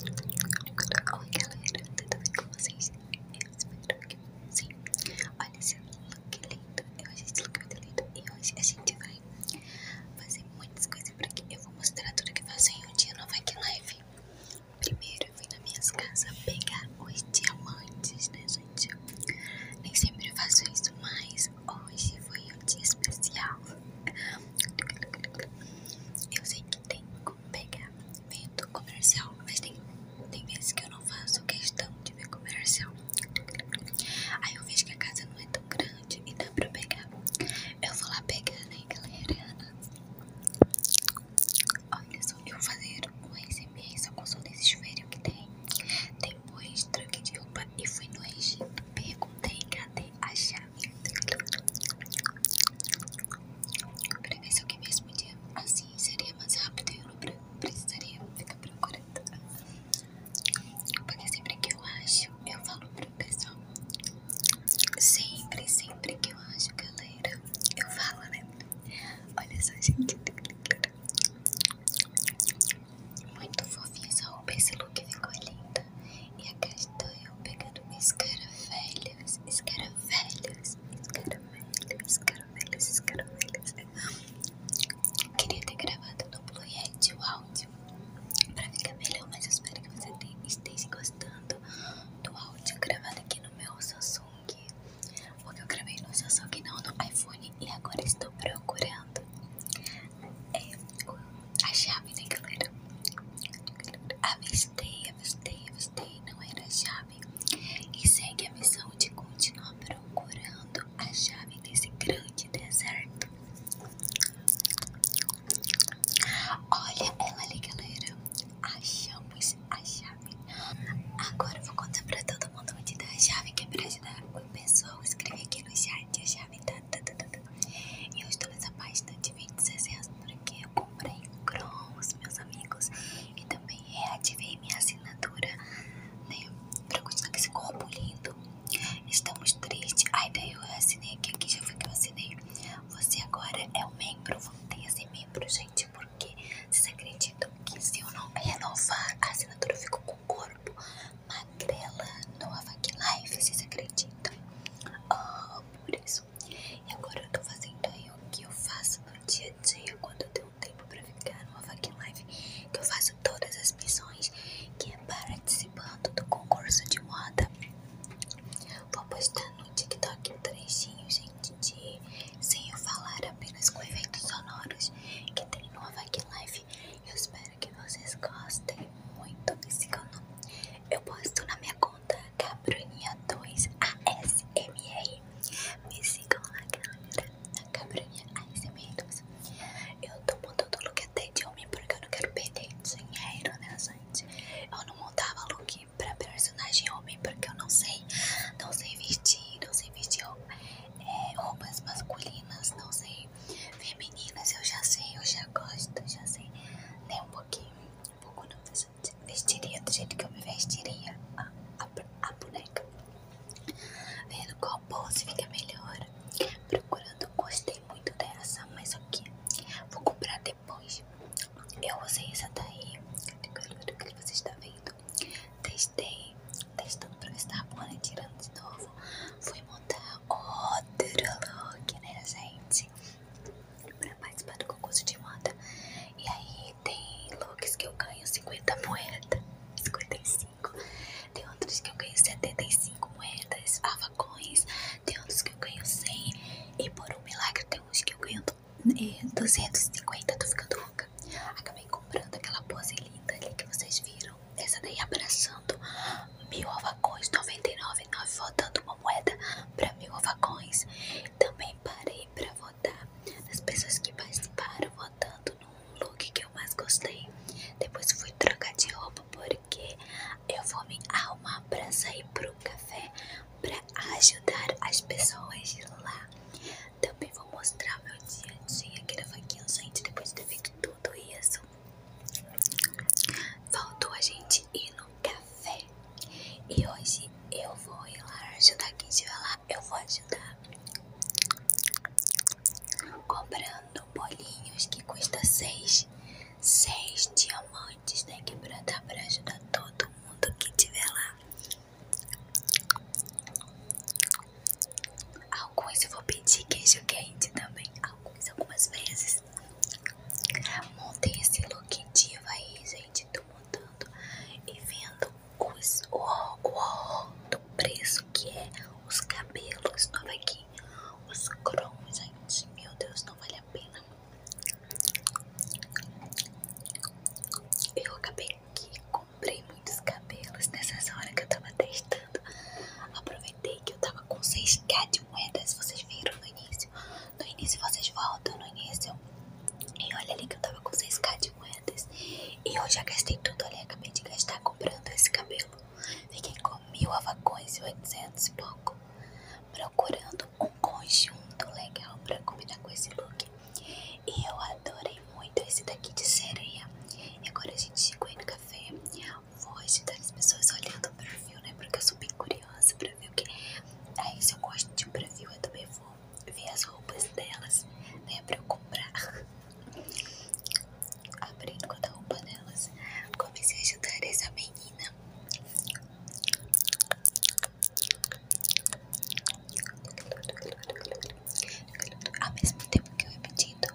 Oi galera, tudo bem com vocês? Eu espero que sim Olha esse look lindo, eu achei esse look E hoje a gente vai fazer muitas coisas por aqui Eu vou mostrar tudo que eu faço em um dia no Vac Live Primeiro eu fui nas minhas casas pegar os diamantes, né gente? Nem sempre eu faço isso, mas hoje foi um dia especial Eu sei que tenho que pegar. Vendo comercial, mas tem, tem vezes que eu não faço questão de ver comercial. Aí eu vejo que a casa não é tão grande e dá pra pegar. Eu vou lá pegar, né, galera? Olha só, eu vou fazer um ASMR só com som desse chuveiro que tem. Depois troquei de roupa e fui no Egito. Perguntei cadê a chave. Pra ver se alguém mesmo dia assim seria mais rápido eu não precisaria ficar procurando. Porque sempre que eu acho, eu falo pro pessoal. Sempre, sempre que eu acho, galera, eu falo, né? Olha só, gente. Muito fofinha essa roupa, esse look ficou linda. E a castanha eu pegando escaravelhas, escaravelhas, escaravelhas, escaravelhas, escaravelhas. Queria ter gravado no Blue Yeti o áudio pra ficar melhor, mas espero que você esteja gostando do áudio gravado aqui no meu Samsung. Porque eu gravei no Samsung, não no iPhone, e agora estou procurando é, a chave, né, galera? Avistei, avistei, avistei, não era a chave. E segue a missão de continuar procurando a chave nesse grande deserto. Olha ela ali, galera. Achamos a chave. Agora eu vou contar pra todo mundo onde tá a chave, que é pra ajudar o pessoal. Escreve aqui no chat. A chave tá e eu estou nessa página de 26 porque eu comprei um cross, meus amigos, e também reativei minha assinatura, né? Pra continuar com esse corpo lindo. Estamos tristes. Ai, daí eu assinei aqui, aqui já foi que eu assinei. Você agora é um membro, voltei a ser membro, gente, porque vocês acreditam que se eu não renovar a assinatura, eu fico com o corpo magrela no Avac Live, vocês acreditam? Oh, por isso. E agora eu tô fazendo aí o que eu faço no dia a dia quando eu tenho tempo pra ficar no Avac Live, que eu faço todas as missões, que é participando do concurso de moda. Vou postar no TikTok um trechinho, gente, de sem eu falar apenas com eventos sonoros que tem no Avac Live. Eu espero que vocês gostem muito. Me sigam Eu posto na minha conta Cabroninha2ASMR. É Me sigam lá, galera. É na Cabroninha ASMR2. Eu tô montando look até de homem porque eu não quero perder dinheiro, né, gente? Eu não montava look pra personagem homem porque eu não sei. Não sei vestir, não sei vestir é, roupas masculinas, não sei porque meninas eu já sei, eu já gosto, já sei, nem é Um pouquinho, um pouco não vestiria do jeito que eu me vestiria a, boneca. Vendo qual pose fica melhor. Procurando, gostei muito dessa, mas aqui vou comprar depois. Eu usei essa daí, que você está vendo. Testei, testando pra ver se tava boa, né? Tirando de novo. Fui montar outro look, né, gente? Pra participar do concurso de moda. E aí tem looks que eu ganho 50 moedas, 55. Tem outros que eu ganho 75 moedas, avacões. Ah, tem outros que eu ganho 100. E por um milagre, tem uns que eu ganho 250. É, Tô ficando louca. Acabei comprando aquela pose linda ali que vocês viram. Essa daí abraçando mil avacões, 99, 9, votando uma moeda para mil avacões. Também parei para votar as pessoas que participaram votando no look que eu mais gostei. Depois fui trocar de roupa porque eu vou me arrumar para sair pro café para ajudar as pessoas lá. Também vou mostrar meu dia a dia aqui na faquinha, gente, depois de ter feito tudo isso. Faltou a gente ir no café. E hoje eu vou ir lá ajudar quem estiver lá. Eu vou ajudar comprando bolinhos que custa 6 diamantes, né? Que pra dar pra ajudar todo mundo que estiver lá. Alguns eu vou pedir queijo quente também. Alguns, algumas vezes. Montei esse look diva aí, gente. Tô montando e vendo os, o, o, do preço que é os cabelos. Nova aqui. Os cromos, gente. Meu Deus, não vale a pena. Eu acabei que comprei muitos cabelos nessa hora que eu tava testando. Aproveitei que eu tava com 6k de moedas, vocês viram no início. No início vocês voltam, no início. E olha ali que eu tava com 6k de moedas. E eu já gastei tudo, olha, acabei de gastar comprando esse cabelo. Fiquei com mil avacões e 800 e pouco. Procurando um conjunto legal pra combinar com esse look. E eu adorei muito esse daqui de sereia. E agora a gente chegou aí no café. Vou ajudar as pessoas olhando o perfil, né? Porque eu sou bem curiosa pra ver o que. Aí, é se eu gosto de um perfil, eu também vou ver as roupas delas, né? Pra eu comprar. Abrindo com a roupa delas. Comecei a ajudar essa menina. Ao mesmo tempo que eu ia pedindo,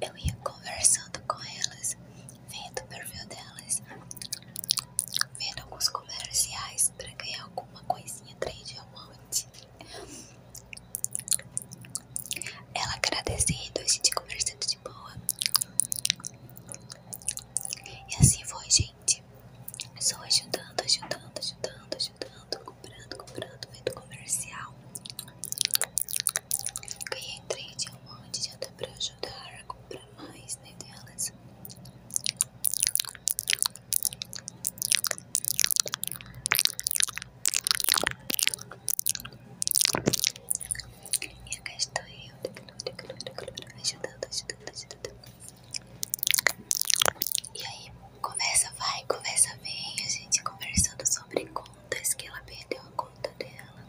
eu ia conversando com elas, vendo o perfil delas, vendo alguns comerciais para ganhar alguma coisinha, três diamantes. Ela agradecendo, a gente conversando de boa. E assim foi, gente gente. ajudando, ajudando, ajudando, ajudando, comprando, comprando, vendo comercial. Ganhei entrei de um monte, de dá pra ajudar a comprar mais, né, delas. E a estou é eu, ajudando, ajudando, ajudando. E aí, conversa vai, conversa vem, a gente conversando sobre contas que ela perdeu a conta dela.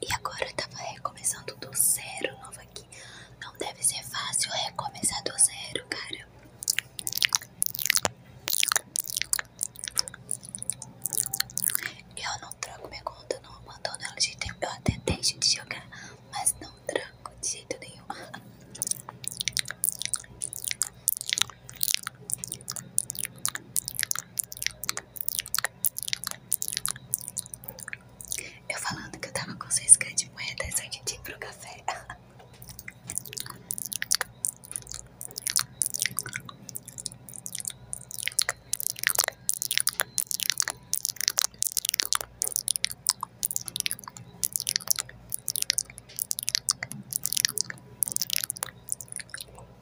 E agora eu tava recomeçando do zero novo aqui. Não deve ser fácil recomeçar do zero, cara. Eu não troco minha conta não mandando ela de tempo. Eu até deixo de jogar, mas não tranco de jeito nenhum. Eu falando que eu tava com 6 k de moeda, só pro café.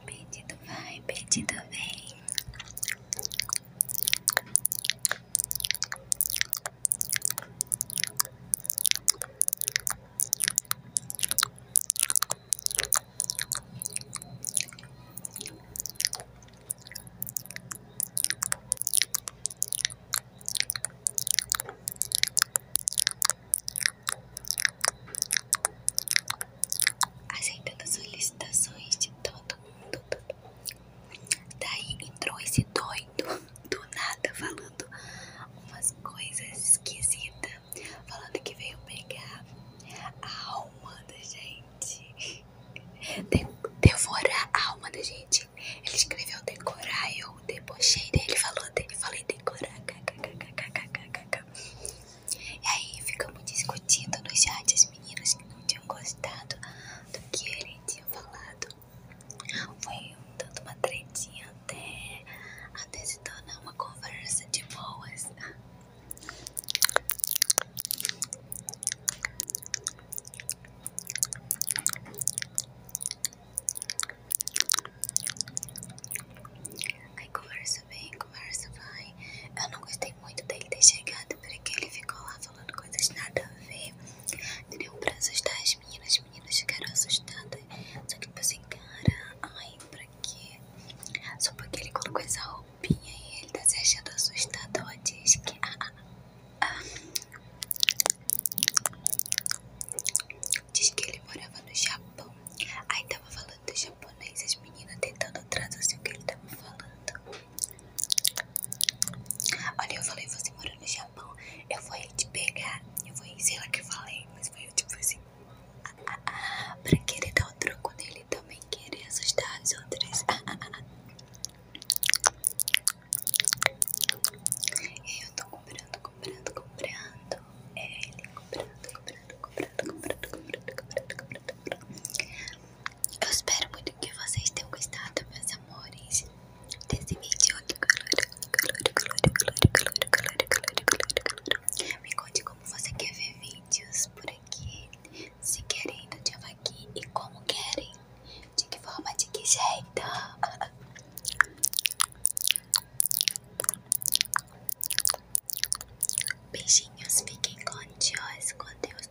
Pedido vai, pedido vem. Aceitando solicitações de todo mundo. Daí entrou esse doido do nada falando umas coisas esquisitas, falando que veio pegar a alma da gente gente. devorar a alma da gente. Ele escreveu decorar, eu debochei ele falou dele, falei decorar. Kkkkkk. E aí ficamos discutindo no chat as meninas que não tinham gostado do que ele tinha falado. Foi um tanto uma tretinha até, até se tornar uma conversa de boas. Aí conversa bem, conversa vai. Eu não gostei muito dele ter chegado, porque ele ficou lá falando coisas nada a ver. Deu pra assustar as meninas, as meninas ficaram assustadas. Só que tipo assim, cara, ai, pra só porque ele colocou essa roupinha e ele tá se achando assustador. Diz que. Ah, ah, ah. Diz que ele morava no Japão. Aí tava falando do japonês, as meninas tentando traduzir o que ele tava falando. Olha, eu falei, você mora no Japão, eu vou ir te pegar. Eu vou ir, sei lá que eu falei, mas foi tipo assim assim. Ah, ah, ah, pra querer dar o troco nele também querer assustar as outras. Ah, ah, Eu tô comprando, comprando, comprando. É, ele comprando, comprando, comprando, comprando, comprando, comprando, comprando, Eu espero muito que vocês tenham gostado, meus amores, desse vídeo. Calor, calor, calor, calor, calor, calor, calor, calor, calor. Me conte como você quer ver vídeos por aqui, se querendo de aqui e como querem, de que forma, de que jeito. Beijinhos, fiquem com Deus, com Deus.